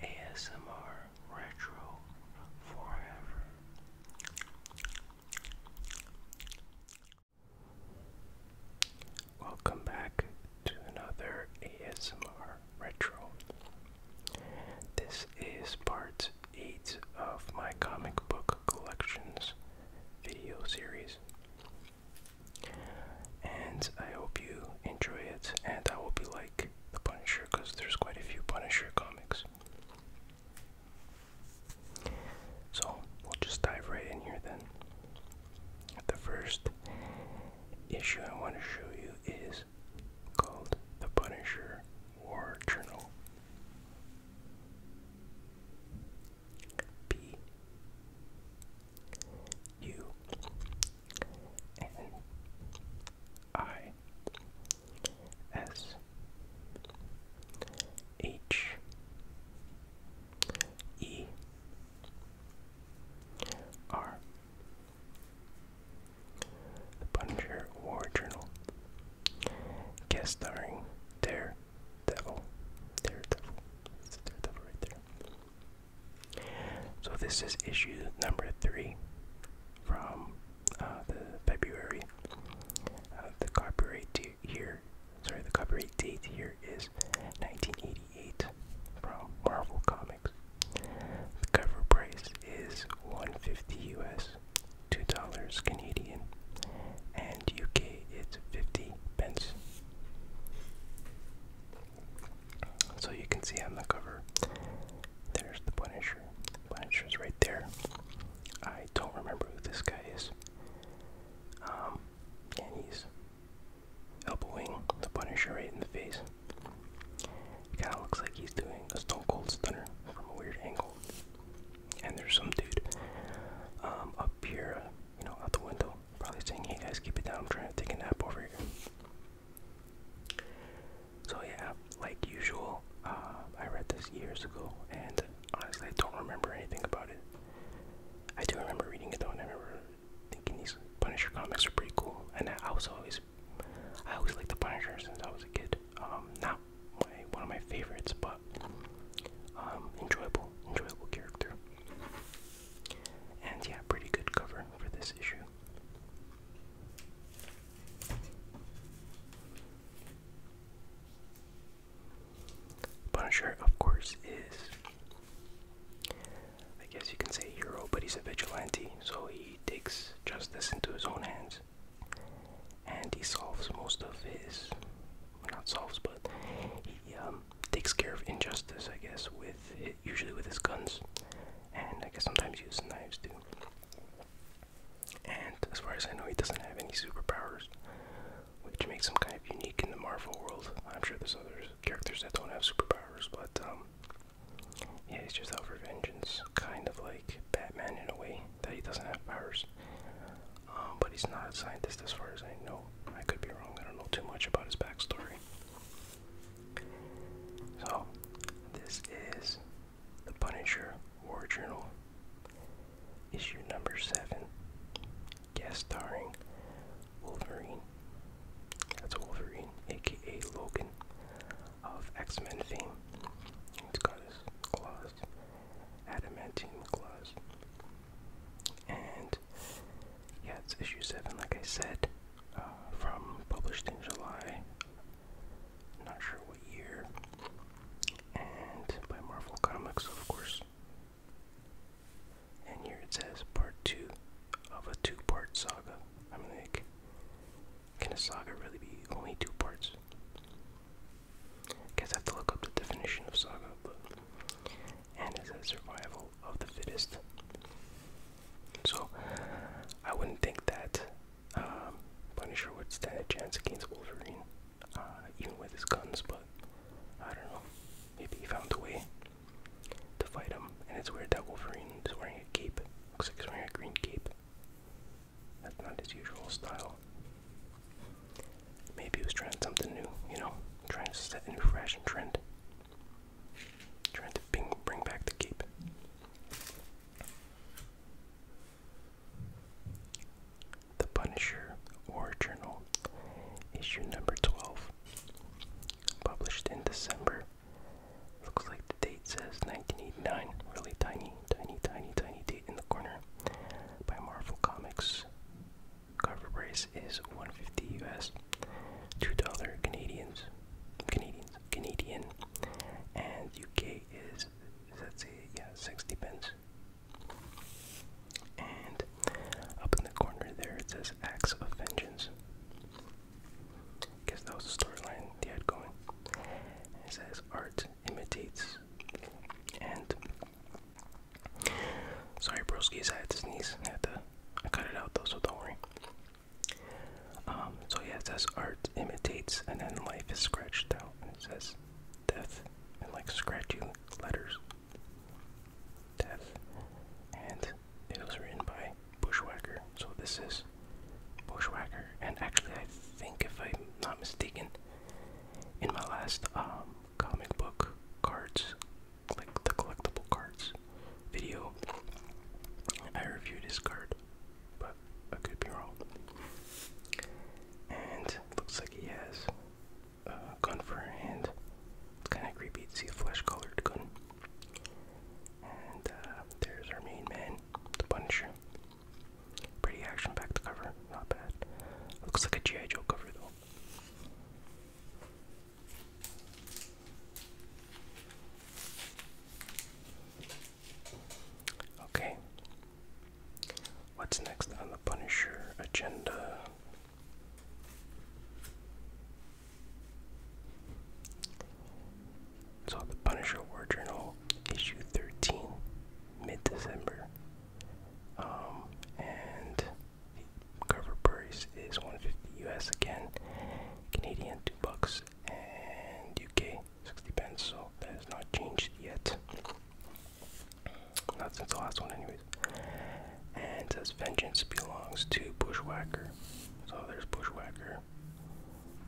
ASMR Retro Forever. Welcome back to another ASMR Retro. This is part 8 of my comic book collections video series. And I hope you enjoy it, and I will be like the Punisher because there's quite a few Punisher comics. So we'll just dive right in here then. The first issue I want to show you is called The Punisher War Journal. P U N I S H E R The Punisher War Journal guest starring their Devil. Daredevil. It's Daredevil right there. So this is issue number three from uh, the February. Uh, the copyright here, sorry, the copyright date here is 1988 from Marvel Comics. The cover price is 150 US, $2 Canadian, and UK it's 50 so you can see on the cover, there's the Punisher. Punisher's right there. I don't remember who this guy is. Um, and he's elbowing the Punisher right in the face. kind of looks like he's doing a Stone Cold Stunner from a weird angle. And there's some dude um, up here you know, out the window, probably saying, "Hey guys, keep it down. I'm trying to take a nap over here." So yeah, like usual, uh, I read this years ago, and honestly, I don't remember anything about it. I do remember reading it though, I remember thinking these Punisher comics were pretty cool, and I was always, I always liked the Punisher since I was a kid. Um, not one of my favorites, but um, enjoyable, enjoyable character. And yeah, pretty good cover for this issue. Punisher, of course, is. I guess you can say hero, but he's a vigilante, so he takes justice into his own hands. And he solves most of his. Not solves, but he um, takes care of injustice, I guess, with usually with his guns, and I guess sometimes uses knives too. And as far as I know, he doesn't have any superpowers, which makes him kind of unique in the Marvel world. I'm sure there's other characters that don't have superpowers, but um, yeah, he's just out for vengeance, kind of like Batman in a way that he doesn't have powers. Um, but he's not a scientist as far as I know. I could be wrong, I don't know too much about his backstory. So, this is the Punisher War Journal, issue number 7, guest starring Wolverine. That's Wolverine, aka Logan, of X Men fame. It's got his claws, adamantine claws. And yeah, it's issue 7, like I said, uh, from published in July. Not sure what year. And by Marvel Comics, of course. And here it says part 2 of a two part saga. I'm like, can a saga really be only two parts? Guess I have to look up the definition of saga, but and it says survival of the fittest. So I wouldn't think that um, Punisher would stand a chance against Wolverine, uh, even with his guns. But I don't know. Maybe he found a way to fight him. And it's weird that Wolverine is wearing a cape. Looks like he's wearing a green cape. That's not his usual style. Maybe he was trying something new, you know, trying to set a new fashion trend. Trying to bring, bring back the cape. The Punisher War Journal, issue number 12, published in December. Looks like the date says 1989, really tiny, tiny, tiny, tiny date in the corner by Marvel Comics. Cover price is 150 US, $2 Canadians, Canadians, Canadian, and UK is, let's yeah, 60 pence. And up in the corner there it says Acts of Vengeance. Guess that was the storyline they had going. It says art imitates, and Sorry, broski. I had to sneeze. I had to. I cut it out though, so don't worry. Um, so yeah, it says art imitates, and then life is scratched out, and it says death and like scratchy letters. Death, and it was written by Bushwhacker. So this is Bushwhacker, and actually, I think if I'm not mistaken, in my last um comic book cards, like the collectible cards video. I reviewed his card, but I could be wrong. And looks like he has a gun for a hand. kind of creepy to see a flesh-colored gun. And uh, there's our main man, the Punisher. Pretty action-packed cover, not bad. Looks like a G.I. Joe cover though. Okay. What's next on the Punisher agenda? So, the Punisher War Journal, issue 13, mid December um, and cover price is 150 US again, Canadian two bucks, and UK 60 pence. So that has not changed yet. Not since the last one, anyway And says vengeance belongs to Bushwhacker. So there's Bushwhacker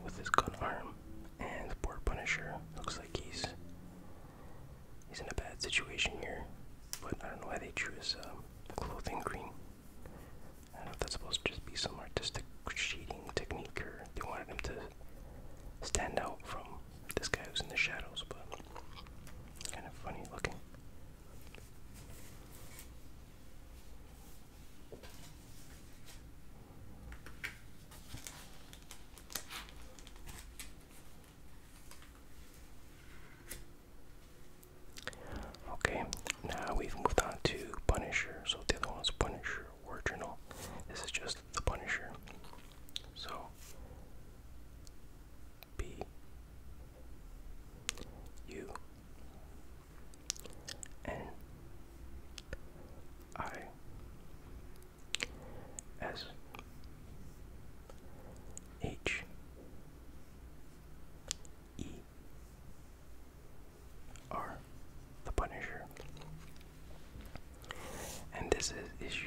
with his gun arm, and poor Punisher looks like he's He's in a bad situation here, but I don't know why they choose um, clothing green. I don't know if that's supposed to just be some artistic shading technique or they wanted him to stand out from this guy who's in the shadows, but kind of funny looking. Okay, now we've moved on to Punisher. So the other one's Punisher original. This is just the Punisher. So B U N I S H E R the Punisher. And this is issue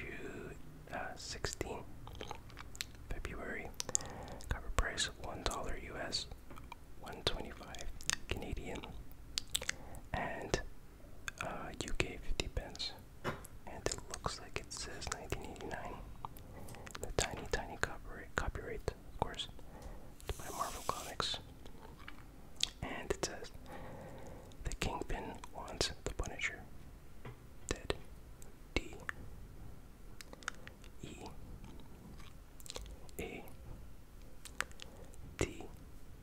uh, 16, February. Cover price $1 US, 125 Canadian. And uh, UK 50 pence, and it looks like it says 1989. The tiny, tiny copyright, copyright of course, by Marvel Comics. And it says, The Kingpin wants the Punisher. Dead. D. E. A. D.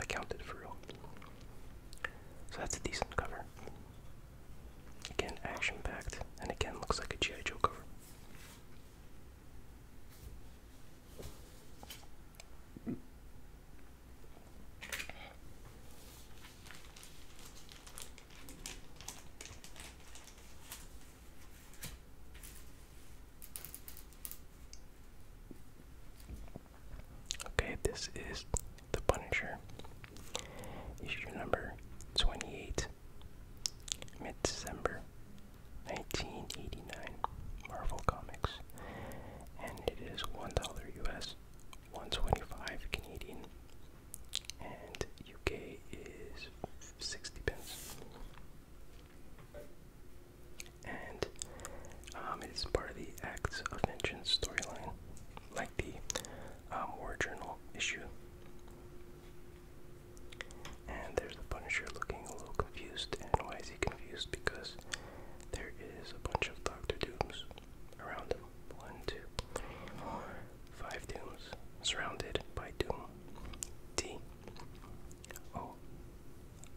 accounted for real. So that's a decent cover. Again, action packed, and again, looks like a G.I. Joe cover. Okay, this is The Punisher, issue number 28, mid December 1989, Marvel Comics, and it is $1 US, 125 Canadian, and UK is 60 pence and um, it is part of the Acts of Vengeance storyline, like the um, War Journal issue. And there's the Punisher looking a little confused, and why is he confused? Because there is a bunch of Doctor Dooms around him. One, two, three, four, five Dooms surrounded by Doom. D. O.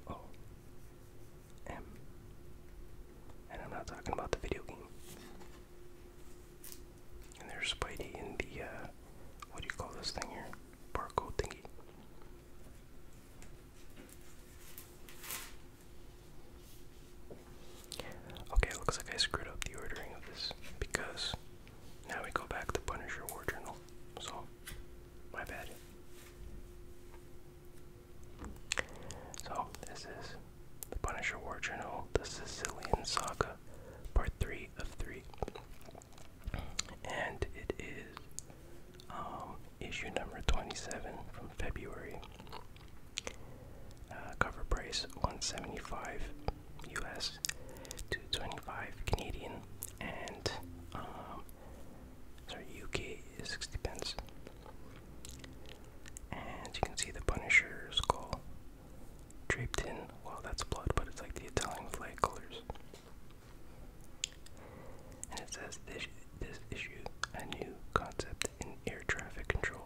O. And I'm not talking about the video game. And there's Spidey in the, uh, what do you call this thing here? Barcode thingy. Okay, looks like I screwed up the ordering of this because now we go back to Punisher War Journal. So, my bad. So, this is The Punisher War Journal, The Sicilian Saga, Part 3 of 3. And it is um, issue number 27 from February. Uh, cover price 175 US, 225 Canadian, and um, UK 60 pence. And you can see the Punisher's skull draped in. Well, that's blood, but it's like the Italian flag colors. And it says this, issue a new concept in air traffic control.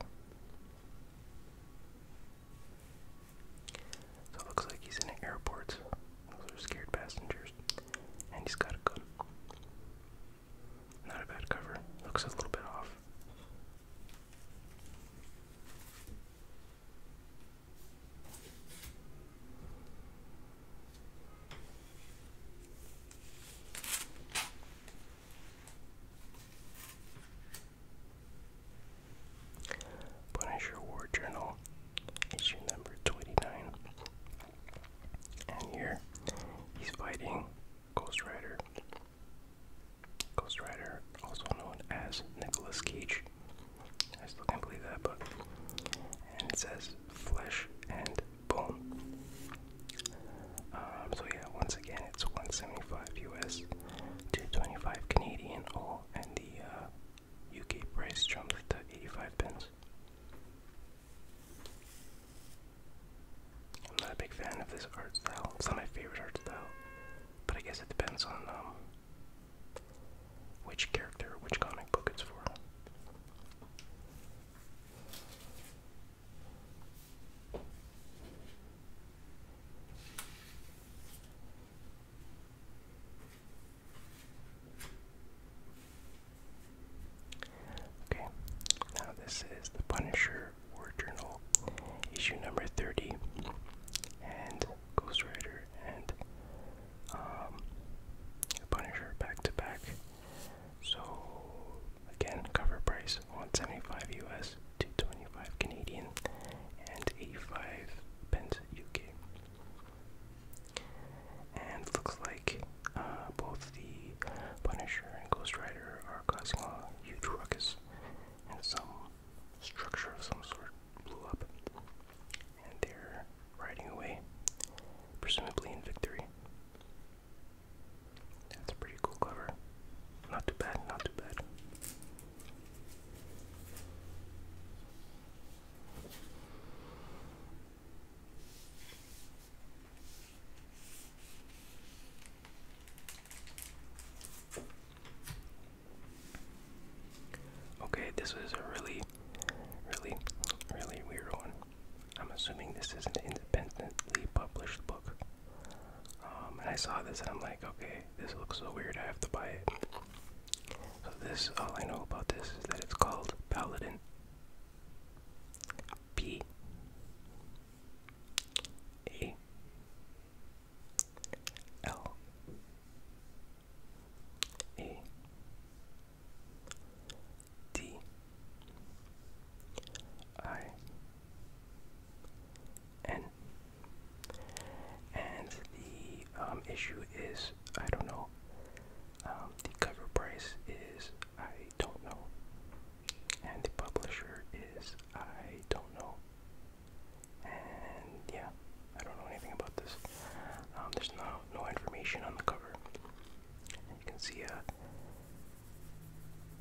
So it looks like he's in an airport those are scared passengers. And he's got a good Not a bad cover. Looks a little bit off. Punisher War Journal issue number 29. And here he's fighting Ghost Rider. Ghost Rider, also known as Nicolas Cage. I still can't believe that, but. And it says flesh and bone. Um, so, yeah, once again, it's 175 US, 225 Canadian, oh, and the uh, UK price jumps to 85 pence. I'm not a big fan of this art style. It's not my favorite art style, but I guess it depends on um, which character, which comic book it's for. Okay, now this is the Punisher War Journal, issue number 30, and Ghost Rider and the um, Punisher back to back. So, again, cover price 175 US, 225 Canadian, and 85 pence UK. And looks like uh, both the Punisher and Ghost Rider are causing a huge ruckus, and some structure of some sort blew up, and they're riding away, presumably in victory. That's a pretty cool cover. Not too bad, not too bad. Okay, this was a really, really, really weird one. I'm assuming this is an independently published book. Um, and I saw this and I'm like, okay, this looks so weird, I have to buy it. So this, all I know about this is that it's called Paladin. P. A. L. A. D. I. N. And the um, issue is, I don't know, um, the cover price is I don't know, and the publisher is I don't know. And yeah, I don't know anything about this. Um, there's no no information on the cover. And you can see a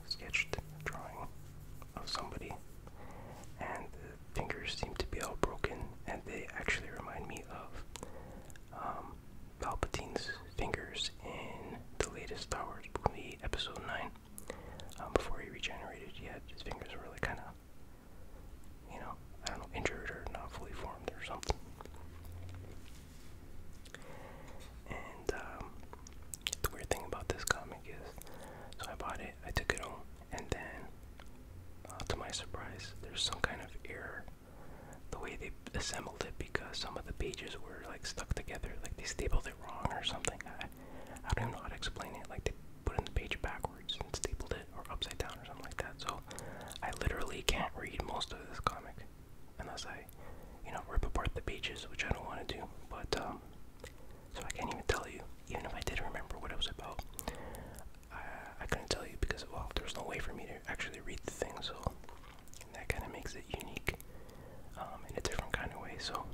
sketched drawing of somebody, and the fingers seem to be all broken, and they actually remind me of um, Palpatine's fingers in the latest Star Wars movie, Episode 9. Um, before he regenerated, yet, his fingers were really kind of, you know, I don't know, injured or not fully formed or something. And um, the weird thing about this comic is, so I bought it, I took it home, and then, uh, to my surprise, there's some kind of error the way they assembled it because some of the pages were like stuck together, like they stapled it wrong or something. I, I don't even explain it. Like they put in the page backwards and stapled it, or upside down, or something like that. So I literally can't read most of this comic unless I, you know, rip apart the pages, which I don't want to do. But um, so I can't even tell you, even if I did remember what it was about. I, couldn't tell you because, well, there was no way for me to actually read the thing, so that kind of makes it unique um, in a different kind of way. So,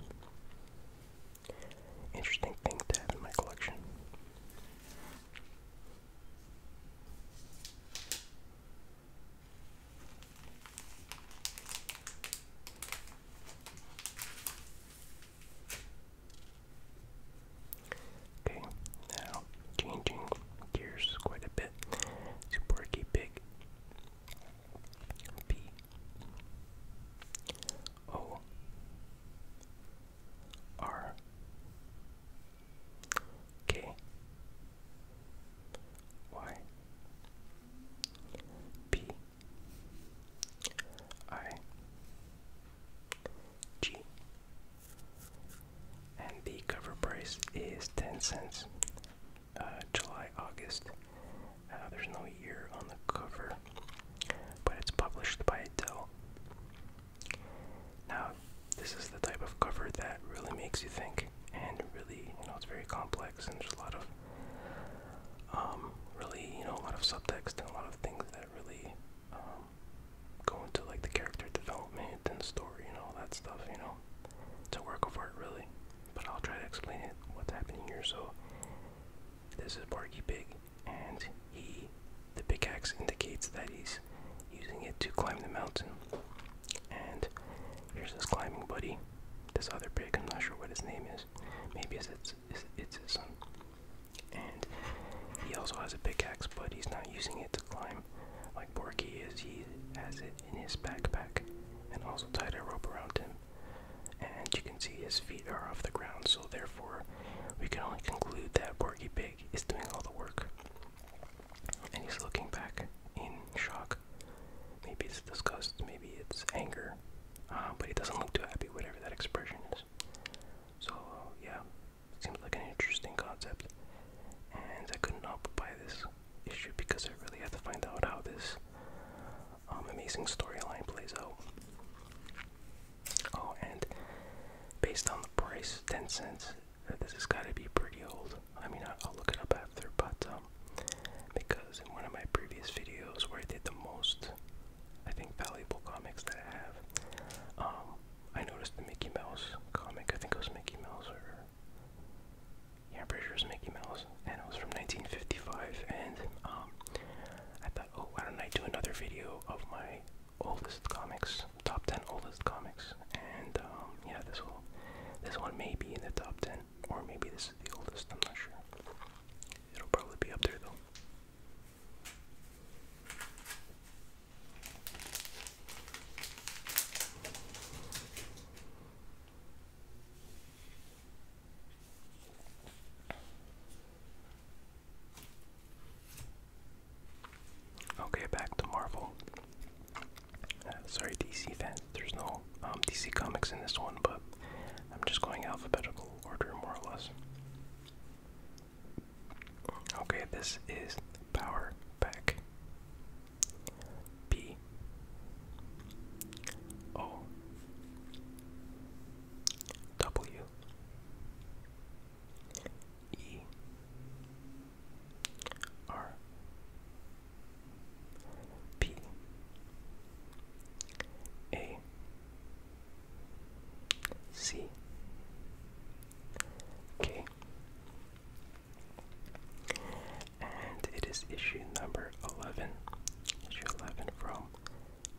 interesting thing to have in my collection. Okay, now changing gears quite a bit to Porky Pig. P O R K Y P I G. And the cover price is 10 cents. Uh, July, August. Uh, there's no year on the cover, but it's published by Dell. Now, this is the type of cover that really makes you think, and really, you know, it's very complex, and there's a lot of, um, really, you know, a lot of subtext and a lot of things that really, um, go into like the character development and story and all that stuff, you know. It's a work of art really. But I'll try to explain it what's happening here. So this is Barky Pig and he the pickaxe indicates that he's using it to climb the mountain. And here's this climbing buddy. This other pig, I'm not sure what his name is. Maybe it's it's, it's his son. And he also has a pickaxe, but he's not using it to climb like Borky is. He has it in his backpack and also tied a rope around him. And you can see his feet are off the ground, so therefore, we can only conclude that Borky Pig is doing all the work. And he's looking back in shock. Maybe it's disgust, maybe it's anger, uh, but he doesn't look too happy, whatever that expression is. So, yeah, Seems like an interesting concept. And I could not help buy this issue because I really have to find out how this um, amazing storyline plays out. Oh, and based on the price, 10 cents, uh, this has got to be pretty old. I mean, I'll, look it up after, but um, because in one of my previous videos where I did the most, I think, valuable comics that I have, um, I noticed the Mickey Mouse comic. I think it was Mickey Mouse or yeah, pretty sure it Mickey Mouse, and it was from 1955. And um, I thought, oh, why don't I do another video of my oldest comics, top 10 oldest comics? And um, yeah, this will, this one may be in the top 10, or maybe this is the oldest. I'm not sure. It'll probably be up there though. Okay, back to Marvel. Uh, sorry, DC fans. There's no um, DC comics in this one, but I'm just going alphabetical order, more or less. Okay, this is power pack. B O W E R P A C. Okay. And it is issue number 11. Issue 11 from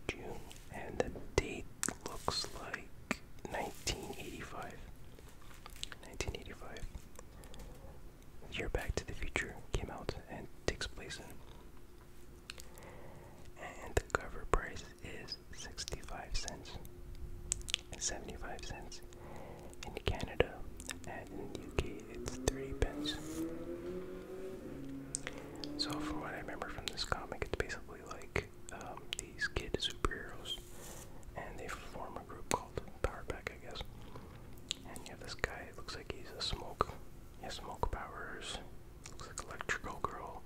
June. And the date looks like 1985. 1985. The year Back to the Future came out and takes place in. And the cover price is 65 cents and 75 cents in Canada, and in the UK it's 30 pence. So, from what I remember from this comic, it's basically like um, these kid superheroes, and they form a group called Power Pack, I guess. And you have this guy, looks like he's a smoke. He has smoke powers. Looks like Electrical Girl.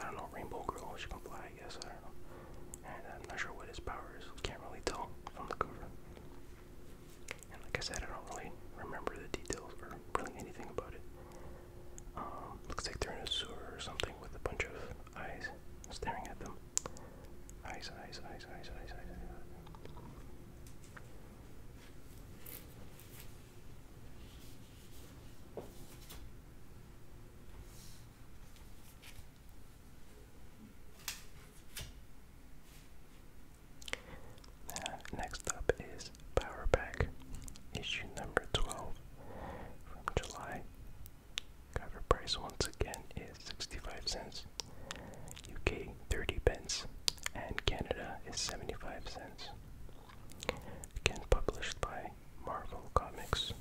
I don't know, Rainbow Girl. She can fly, I guess. I don't know. And I'm not sure what his power is. Can't really tell from the cover. And like I said, I don't really remember the details or really anything about it. Um, looks like they're in a sewer or something with a bunch of eyes staring at them. eyes, eyes, eyes, eyes, eyes, eyes next up is Power Pack, issue number 12 from July. Cover price once again is 65 cents, UK 30 pence, and Canada is 75 cents. Again published by Marvel Comics.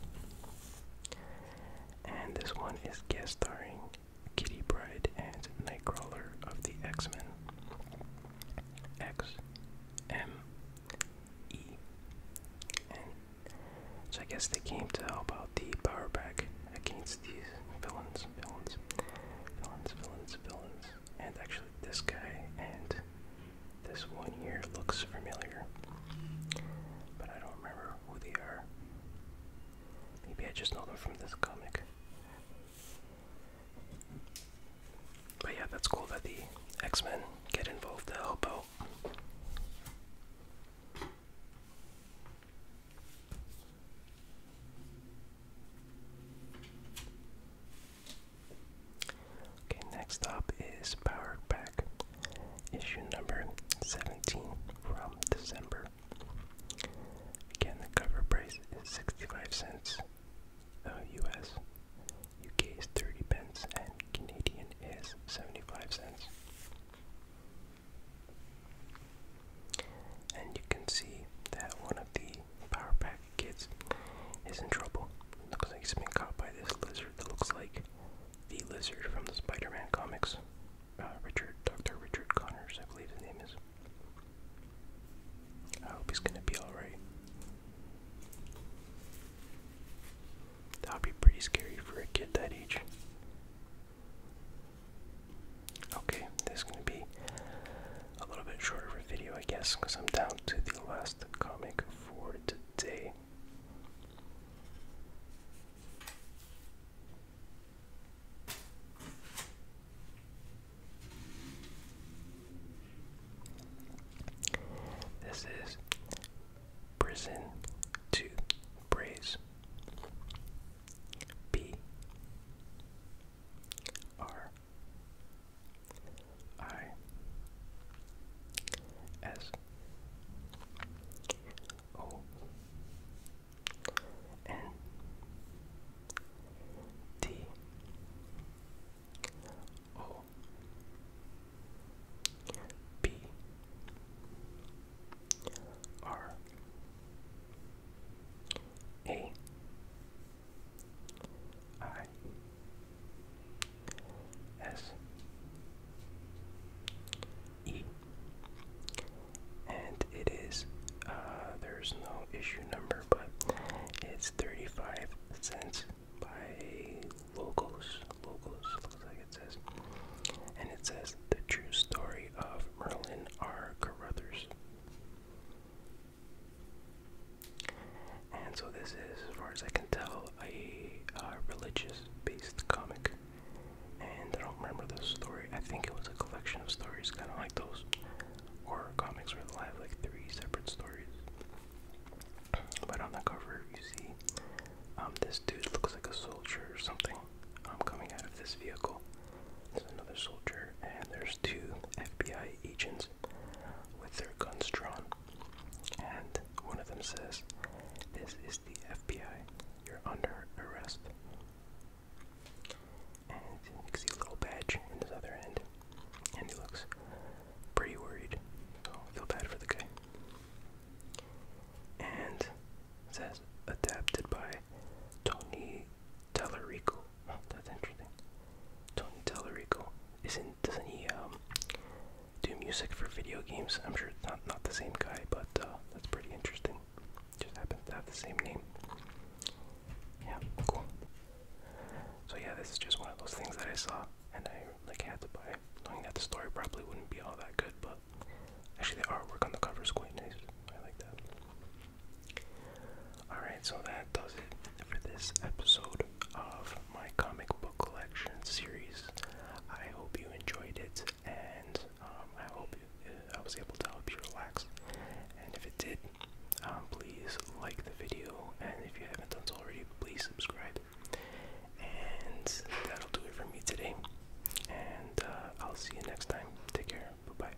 And this one is guest starring Kitty Pride and Nightcrawler of the X Men. X M E N. So I guess they came to help out the power back against these villains, villains, villains, villains, villains and actually this guy and this one here looks familiar, but I don't remember who they are. Maybe I just know them from this comic. But yeah, that's cool that the X-Men get involved to help out. Okay, next up is Powered Pack, issue number 17 from December. Again, the cover price is 65 cents uh, US, UK is 30 pence, and Canadian is 75 cents. And you can see that one of the Power Pack Kids is in trouble. Looks like he's been caught by this lizard that looks like the lizard from the Spider-Man comics. Uh, Richard, Dr. Richard Connors, I believe his name is. I hope he's gonna be alright. That would be pretty scary for a kid that age. Okay, this is gonna be a little bit shorter video, I guess, because I'm down to the last comic for today. This is Prison to Praise B R I S O N T O P R A I S E and it is uh there's no issue number but it's 35 cents by locals locals looks like it says and it says the true story of Merlin R Carruthers and so this is, as far as I can tell, a uh, religious-based comic. And I don't remember the story. I think it was a collection of stories, kind of like those or comics where they have like three separate stories. But on the cover, you see um, this dude looks like a soldier or something um, coming out of this vehicle. There's another soldier, and there's two FBI agents with their guns drawn. And one of them says, This is the FBI, you're under arrest. And you see a little badge in his other hand. And he looks pretty worried. So feel bad for the guy. And says, adapted by Tony Tallarico that's interesting. Tony Tellerico isn't doesn't he um, do music for video games? I'm sure it's not not the same guy, but uh, that's pretty interesting. Just happens to have the same name. Yeah, cool. So yeah, this is just one of those things that I saw and I like had to buy, knowing that the story probably wouldn't be all that good, but actually the artwork on the cover is quite nice. I like that. Alright, so that does it for this episode of my comic book collection series. I hope you enjoyed it, and um, I hope it, uh, I was able to help you relax. And if it did, um, please like the video, and if you haven't done so already, please subscribe. And that'll do it for me today. And uh, I'll see you next time. Take care. Bye bye.